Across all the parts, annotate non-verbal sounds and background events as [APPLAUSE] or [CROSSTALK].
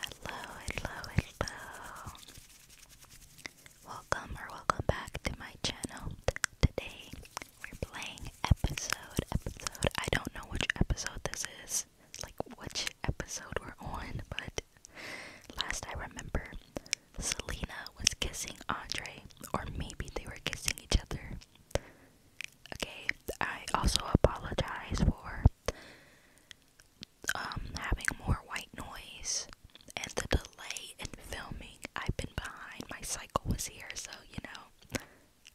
Hello, hello, hello. Welcome or welcome back to my channel. Today we're playing episode, episode. I don't know which episode this is, like which episode we're on, but last I remember, Selena was kissing Andre, or maybe they were kissing each other. Okay, I also apologize for um, having more white noise and the delay in filming. I've been behind. My cycle was here, so you know,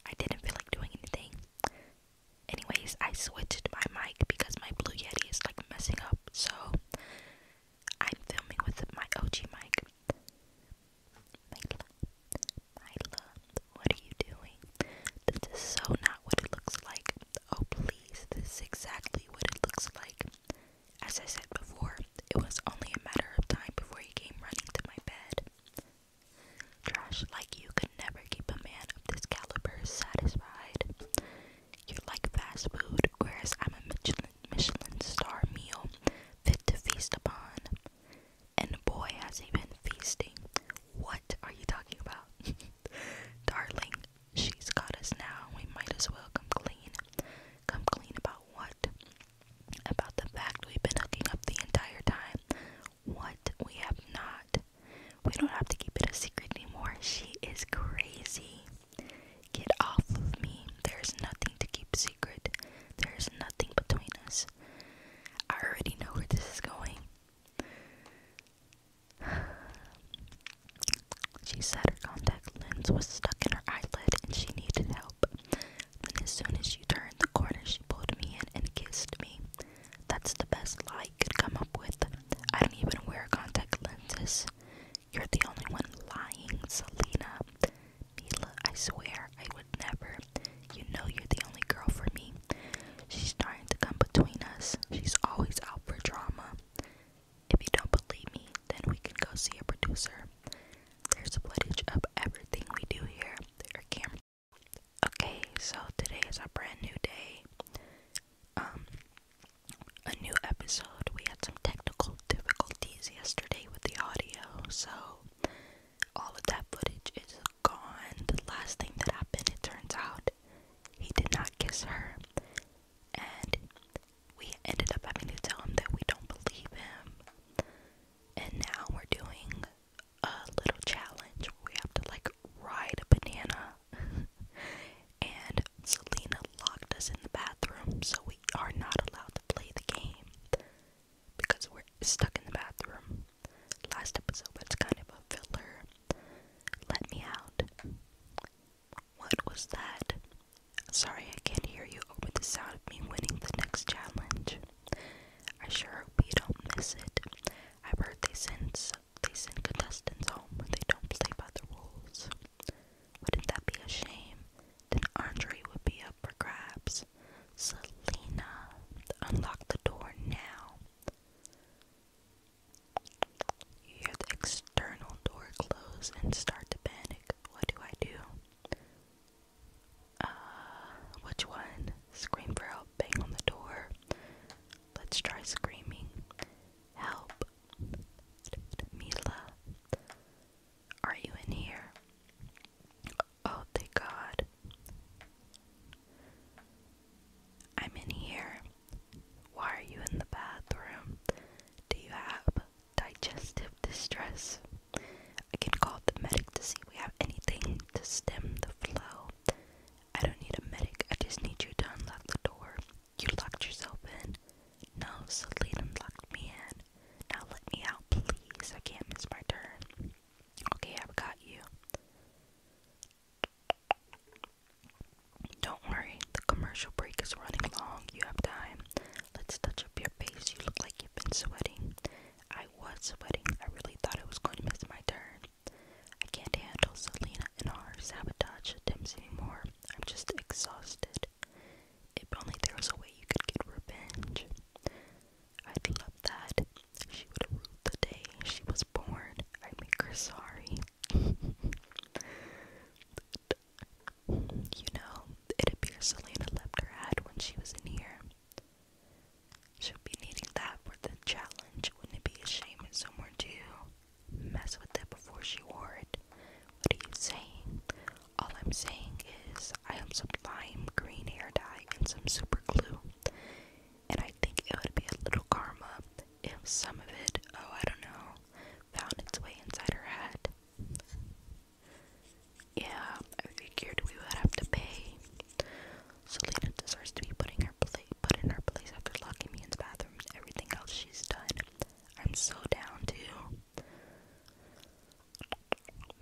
I didn't feel like doing anything. Anyways, I switched my mic because my Blue Yeti is like messing up, so I'm filming with my OG mic. My what are you doing? This is so not what it looks like. Oh, please, this is exactly what it looks like. As I said before, it was only a matter of time before he came running to my bed. Trash like you could never keep a man of this caliber satisfied. You're like fast food, whereas I'm a Michelin, Michelin star meal fit to feast upon. And boy, has he been feasting. What are you talking about? [LAUGHS] Darling, she's got us now. We might as well come clean. Come clean about what? About the fact we've been hooking up the entire time. What? We have not. We don't have to keep it a secret anymore. She is crazy. Get off of me. There's nothing to keep secret. There's nothing between us. I already know where this is going. [SIGHS] She said her contact lens was stuck in her eyelid and she needed help. Then, as soon as she turned the corner, she pulled me in and kissed me. That's the best lie I could come up with. I don't even wear contact lenses. You're the only one lying, Selena. Mila, I swear, I would never. You know you're the only girl for me. She's trying to come between us. She's always out for drama. If you don't believe me, then we can go see a producer. There's footage of everything we do here. There camera. Okay, so today is a brand new day. Um a new episode. We had some technical difficulties yesterday with the audio, so all of that footage is gone. The last thing that happened, it turns out, he did not kiss her. And we ended up having to tell him that we don't believe him. And now we're doing a little challenge. We have to like ride a banana. [LAUGHS] and Selena locked us in the bathroom, so we are not allowed to play the game because we're stuck in the bathroom. Last episode was kind of a filler. Let me out. What was that? Sorry, I can't hear you over the sound of me winning the next challenge. I sure hope don't miss it. i heard they send they send contestants home when they don't play by the rules. Wouldn't that be a shame? Then Andre would be up for grabs. Selena, unlock the door now. You hear the external door close and start to panic. What do I do? Uh, which one? Scream for help, bang on the door. Let's try screaming. Help. Mila, are you in here? Oh, thank God. I'm in here. Why are you in the bathroom? Do you have digestive distress? I can call the medic to see if we have anything to stem the flow. I don't need a medic, I just need you to unlock the door. You locked yourself in. No, Selena locked me in. Now let me out, please. I can't miss my turn. Okay, I've got you. Don't worry, the commercial break is running long. You have time. Let's touch up your face. You look like you've been sweating. I was sweating. I really thought I was going to miss my turn. I can't handle Selena and our sabotage attempts anymore. I'm just exhausted. If only there was a way you could get revenge. I'd love that. She would rule the day she was born. I'd make her sorry. [LAUGHS] you know, it appears Selena left her hat when she was in here. She'll be needing that for the challenge. Wouldn't it be a shame if someone to mess with that before she wore it? What are you saying? All I'm saying is I have some lime green hair dye and some super glue. And I think it would be a little karma if some of it, oh, I don't know, found its way inside her head. Yeah, I figured we would have to pay. Selena deserves to be put in her place after locking me in the bathroom everything else she's done. I'm so down to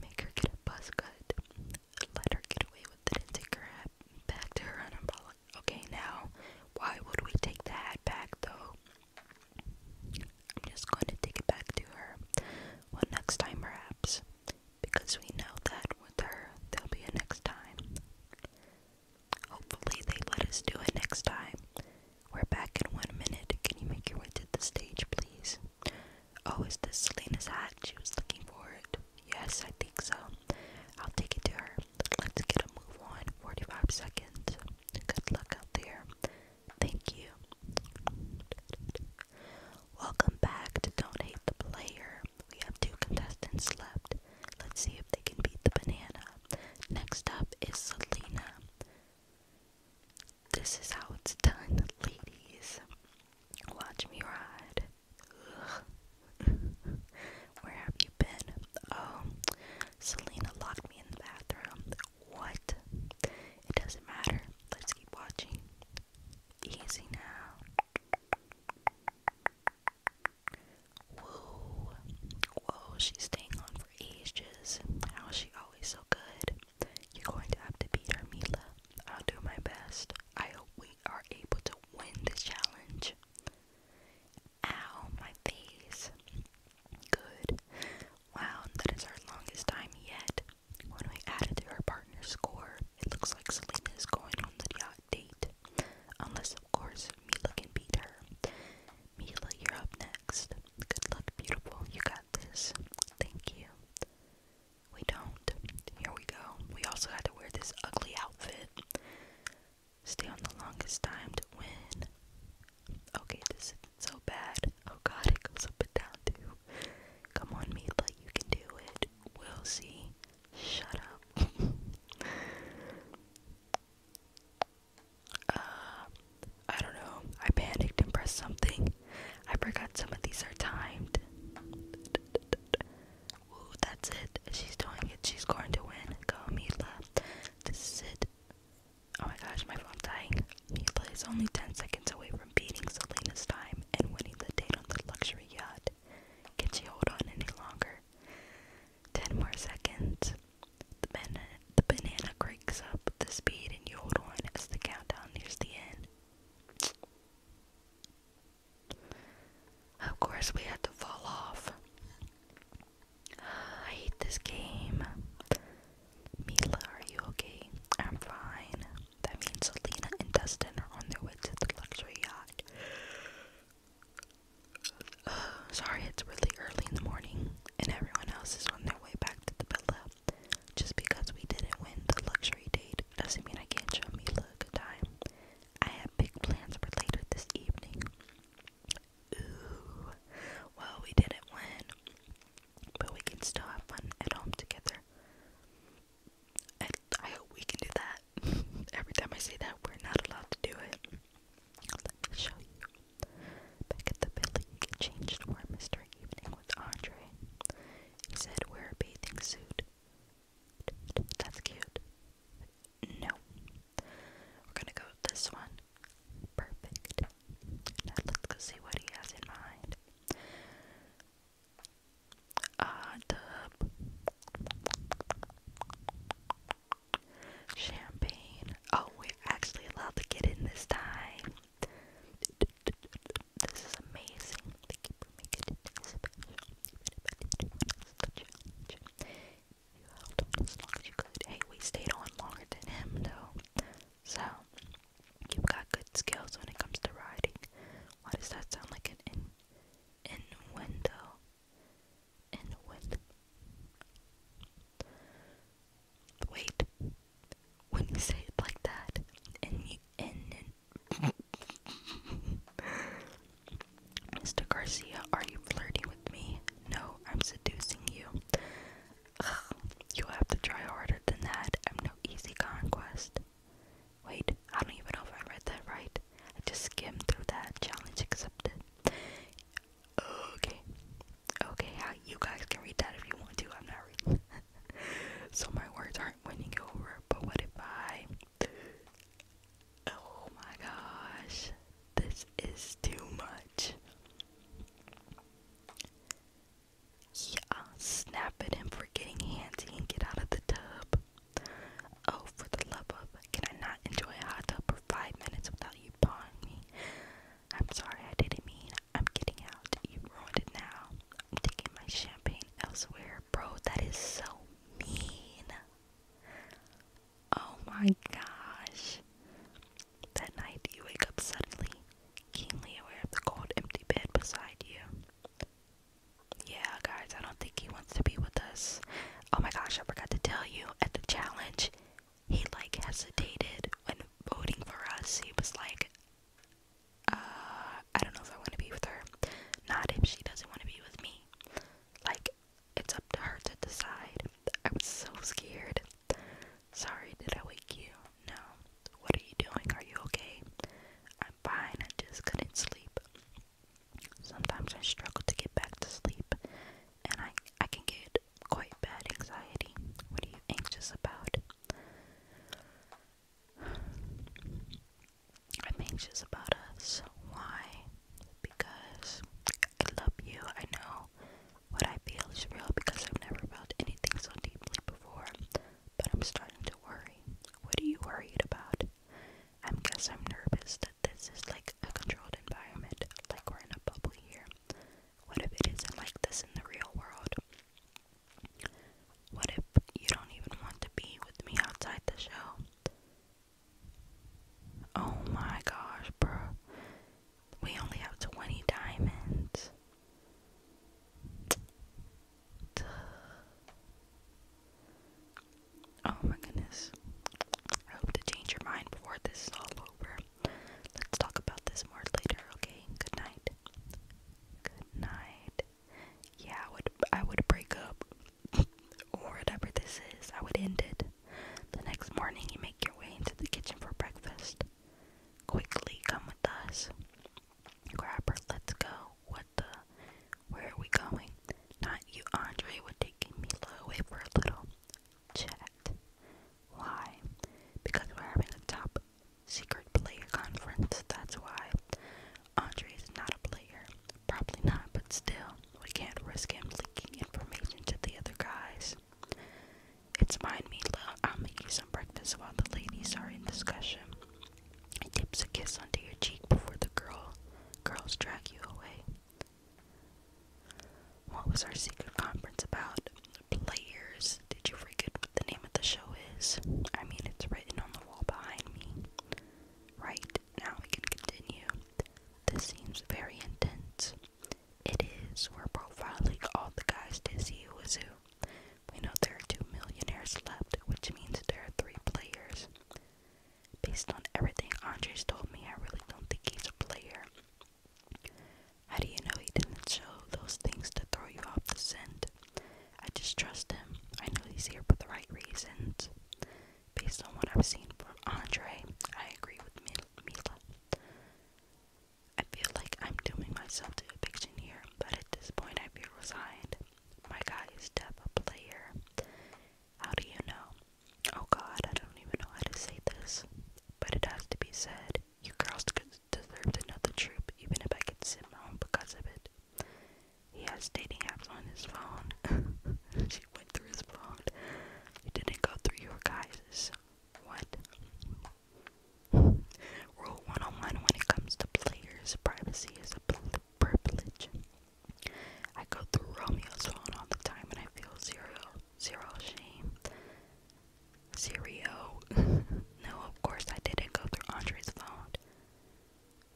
make her get a buzz cut. Let her get away with it and take her hat back to her umbrella. Okay, now, why would we take the hat back though? I'm just going to take it back to her. Well, next time perhaps. Because we know that with her, there'll be a next time. Hopefully, they let us do it next time. We're back in one minute. Can you make your way to the stage, please? Oh, is this Selena's hat? She was looking for it. Yes, I think so. I'll take it to her. Let's get a move on. 45 seconds. Good luck out there. Thank you. Welcome back to Don't Hate the Player. We have two contestants left. Let's see if they can beat the banana. Next up is Selena. This is how it's done, ladies. Watch me ride. [LAUGHS] Where have you been? Oh, Selena locked me in the bathroom. What? It doesn't matter. Let's keep watching. Easy now. Whoa. Whoa, she's staying on for ages. How is she always so good? You're going to have to beat her, Mila. I'll do my best. I hope we are able to win this challenge. Ow, my face. Good. Wow, that is our longest time yet. When we add it to her partner's score, it looks like Selena going on the yacht date. Unless, of course, Mila can beat her. Mila, you're up next. Good luck, beautiful. You got this. Thank you. We don't. Here we go. We also had to wear this ugly outfit. Stay on the longest time to win. Okay, this isn't so bad. Oh god, it goes up and down too. Come on, Meatla, you can do it. We'll see. Shut up. [LAUGHS] uh, I don't know. I panicked and pressed something. I forgot some of these are timed. Ooh, that's it. She's doing it. She's going to win. Go, Mila. This is it. Oh my gosh, my phone's dying. Mila is only 10 seconds away from beating Selena's time and winning the date on the luxury yacht. Can she hold on any longer? 10 more seconds. The, banana. the banana up the speed in your one as the countdown nears the end. Of course, we had to fall off. I hate this game. Mila, are you okay? I'm fine. That means Selena and Dustin are on their way to the luxury yacht. [SIGHS] sorry, it's really early in the morning, and everyone else is on their way back to the pillow. Just because we didn't win the luxury date doesn't mean I can't show me a good time. I have big plans for later this evening. Ooh. Well, we didn't win, but we can still have fun at home together. I, I hope we can do that. [LAUGHS] Every time I say that, we're not allowed to do it. Let me show you. Back at the building, he changed for a mystery evening with Andre. He said, wear a bathing suit. That's cute. No. We're gonna go this one. Perfect. let's go see what he has in mind. Ah, uh, Champagne. Oh, we're actually allowed to get in this time. This is amazing. you held as long as you could. Hey, we stayed on longer than him, though. So, you've got good skills when it comes to riding. Why does that sound like an in innuendo? Innuendo. Wait. When you say it like that, and you and, and [LAUGHS] Mr. Garcia, are you flirting with me? No, I'm seducing you. Ugh, you have to try harder than that. I'm no easy conquest. Wait, I don't even know if I read that right. I just skimmed through that. Challenge accepted. Okay. Okay, you guys can read that if you want to. I'm not reading. [LAUGHS] so my words aren't winning you over. But what if I? Oh my gosh, this is too much. Yeah, snap it in for getting handsy and get out of the tub. Oh, for the love of, can I not enjoy a hot tub for five minutes without you pawing me? I'm sorry, I didn't mean I'm getting out. You ruined it now. I'm taking my champagne elsewhere. Bro, that is so mean. Oh my gosh. That night, you wake up suddenly, keenly aware of the cold, empty bed beside you. Yeah, guys, I don't think he wants to be with us. Oh my gosh, I forgot to tell you at the challenge, he like hesitated when voting for us. He was like, uh, I don't know if I want to be with her. Not if she doesn't want to be with me. Like, it's up to her to decide. I was so scared. Sorry, did I wake you? No. What are you doing? Are you okay? I'm fine. I just couldn't sleep. Sometimes I struggle to get back to sleep, and I I can get quite bad anxiety. What are you anxious about? I'm anxious about us. Why? Because I love you. I know what I feel is real because I've never felt anything so deeply before. But I'm starting to worry. What are you worried about? I guess I'm nervous that this is like a controlled environment, like we're in a bubble here. What if it isn't like this in the real world? What if you don't even want to be with me outside the show? Oh my gosh, bro. We only have 20 diamonds. Oh my goodness. I hope to change your mind before this is all over. Let's talk about this more later, okay? Good night. Good night. Yeah, I would I would break up [LAUGHS] or whatever this is. I would end it. The next morning you make your way into the kitchen for breakfast. Quickly come with us. Grab her, let's go. What the where are we going? Not you, Andre would take Mila away for a little chat. Why? Because we're having a top secret player conference, that's why. Andre is not a player. Probably not, but still, we can't risk him leaking information to the other guys. It's fine, Mila. I'll make you some breakfast while the ladies are in discussion. He dips a kiss onto your cheek before the girl girls drag you away. What was our secret conference about? Players. Did you forget what the name of the show is? I mean, it's written on the wall behind me. Right, now we can continue. This seems very intense. It is. We're profiling all the guys to see who is who. We know there are two millionaires left, which means there are three players. Based on everything Andres told me, I really don't think he's a player. How do you know he didn't show those things to throw you off the scent? I just trust him. I know he's here for the right reasons. Based on what I've seen from Andre, I agree with Mila. I feel like I'm doing myself to a eviction here, but at this point I feel resigned. My guy is deaf a player. How do you know? Oh god, I don't even know how to say this. But it has to be said. You girls deserve another troop, even if I could sit home because of it. He has dating apps on his phone. [LAUGHS] she went through his phone. You didn't go through your guys'. What? [LAUGHS] Rule 101 when it comes to players, privacy is a privilege. I go through Romeo's phone all the time and I feel zero zero shame. Zero. [LAUGHS] no, of course I didn't go through Andre's phone.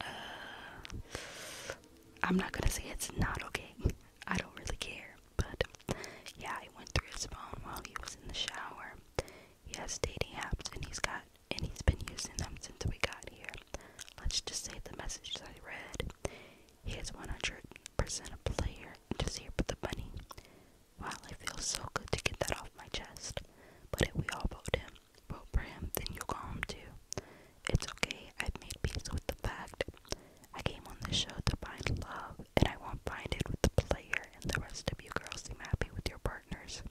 Uh, I'm not gonna say it's not okay. I don't really care. But yeah, I went through his phone while he was in the shower. He has dating apps and he's got and he's been using them since we got here. Let's just say the messages I read. He has 100 percent a player just here for the money. Wow, it feels so good to get that off my chest. But if we all vote him, vote for him, then you'll go home too. It's okay, I've made peace with the fact. I came on this show to find love, and I won't find it with the player, and the rest of you girls seem happy with your partners.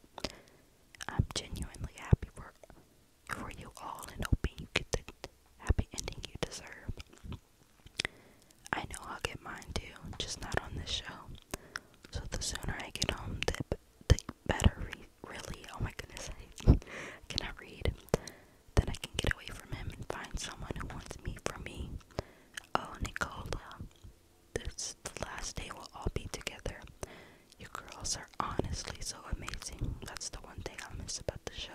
I'm genuinely happy for for you all and hoping you get the happy ending you deserve. I know I'll get mine too, just not on this show. So the sooner I get home, the, the better, really. Oh my goodness, [LAUGHS] I cannot read. Then I can get away from him and find someone who wants me for me. Oh, Nicola, this the last day we'll all be together. You girls are honestly so amazing. That's the one thing I miss about the show.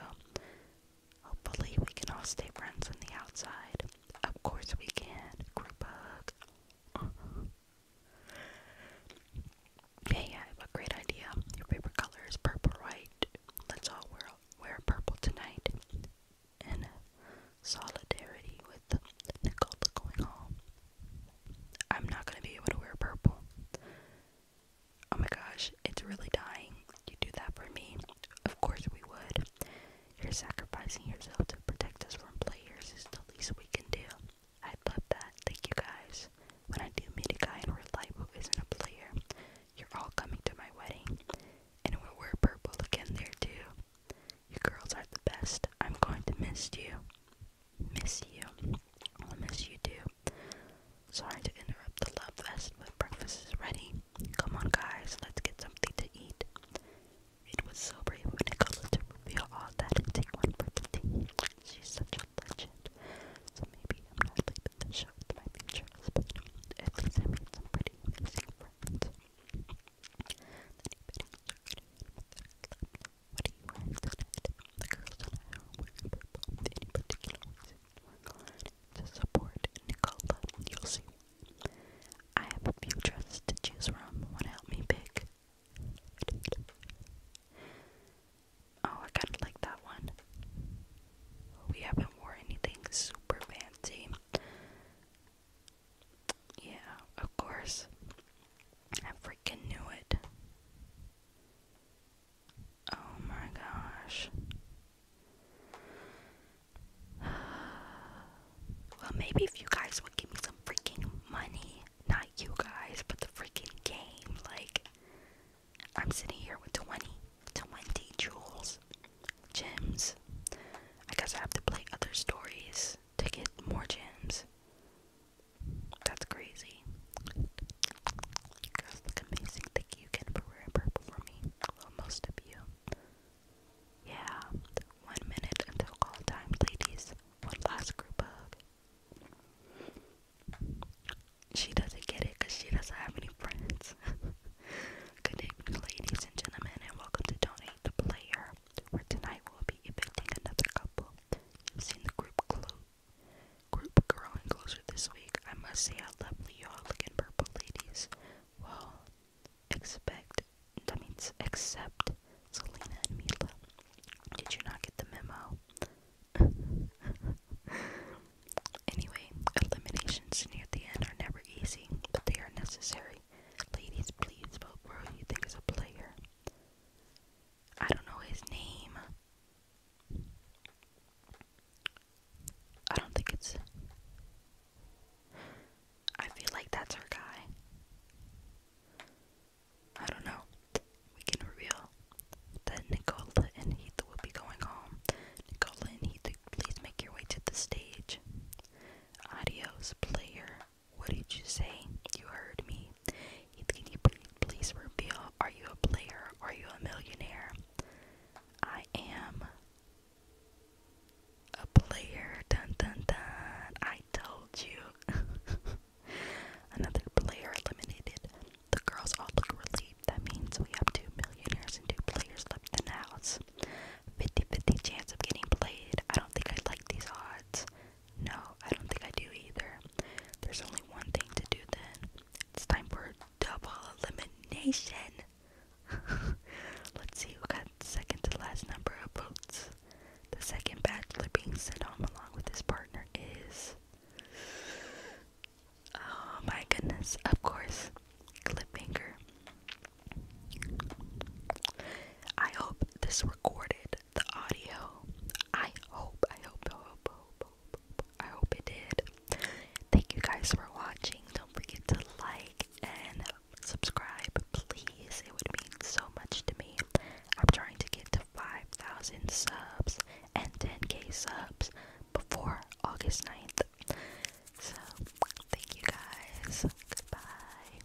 Hopefully, we can all stay friends on the outside. Of course, we can. Group hug. Hey, [LAUGHS] I have a great idea. Your favorite color is purple, right? Let's all wear wear purple tonight in solidarity with Nicola going home. I'm not gonna be able to wear purple oh my gosh, it's really dying. You do that for me. Of course we would. You're sacrificing yourself to protect us from players is the least we can do. I love that. Thank you guys. When I do meet a guy in real life who isn't a player, you're all coming to my wedding. And we'll wear purple again there too. You girls are the best. I'm going to miss you. Miss you. I'll miss you too. Sorry to interrupt the love fest, but breakfast is ready. Come on, guys, let's get something to eat. It was so brave when of Nicola to reveal all that and take one for the team. She's such a legend. So maybe I'm not leaving the show with my future husband. At least I made some pretty amazing friends. What do you wear tonight? The girls and I are wearing purple. Any particular reason? to support Nicola. You'll see. I have a few dresses to choose from. Wanna help me pick? Oh, I kind of like that one. We haven't wore anything super fancy. Yeah, of course. I freaking knew it. Oh my gosh. [SIGHS] Well, maybe if you guys would give me some freaking money. Not you guys, but the freaking game. Like, I'm sitting here with 20, jewels, gems. I guess I have to play other stories to get more gems. That's crazy. You guys look amazing. Thank you again for wearing purple for me. most of you. Yeah, one minute until call time, ladies. One last group hug. She doesn't get it because she doesn't have any friends. [LAUGHS] Good evening, ladies and gentlemen, and welcome to Donate the Player, where tonight we'll be evicting another couple. you the group close. Group growing closer this week. I must say how lovely y'all look in purple, ladies. Well, expect, that means except Selena and Mila. Did you not get the memo? [LAUGHS] anyway, eliminations near the end are never easy, but they are necessary. Ladies, please vote for who you think is a player. I don't know his name. I don't think it's. I feel like that's our guy. I don't know. We can reveal that Nicola and Heath will be going home. Nicola and Heath, please make your way to the stage. Adios, player. What did you say? You heard me. Can you please reveal? Are you a player? Are you a millionaire? I am a player. Dun dun dun. I told you. [LAUGHS] Another player eliminated. The girls all look relieved. That means we have two millionaires and two players left in the house. 50 50 chance of getting played. I don't think I like these odds. No, I don't think I do either. There's only one thing to do then. It's time for double elimination. [LAUGHS] Let's see who got second to last number of votes. The second bachelor being sent home along with his partner is. Oh my goodness, of course, Cliffhanger. I hope this recorded the audio. I hope, I hope, hope, hope, I hope it did. Thank you guys for watching. Don't forget to like and subscribe, please. It would mean so much to me. I'm trying to get to 5,000 subs and 10k subs before August 9th. So, thank you guys. Goodbye.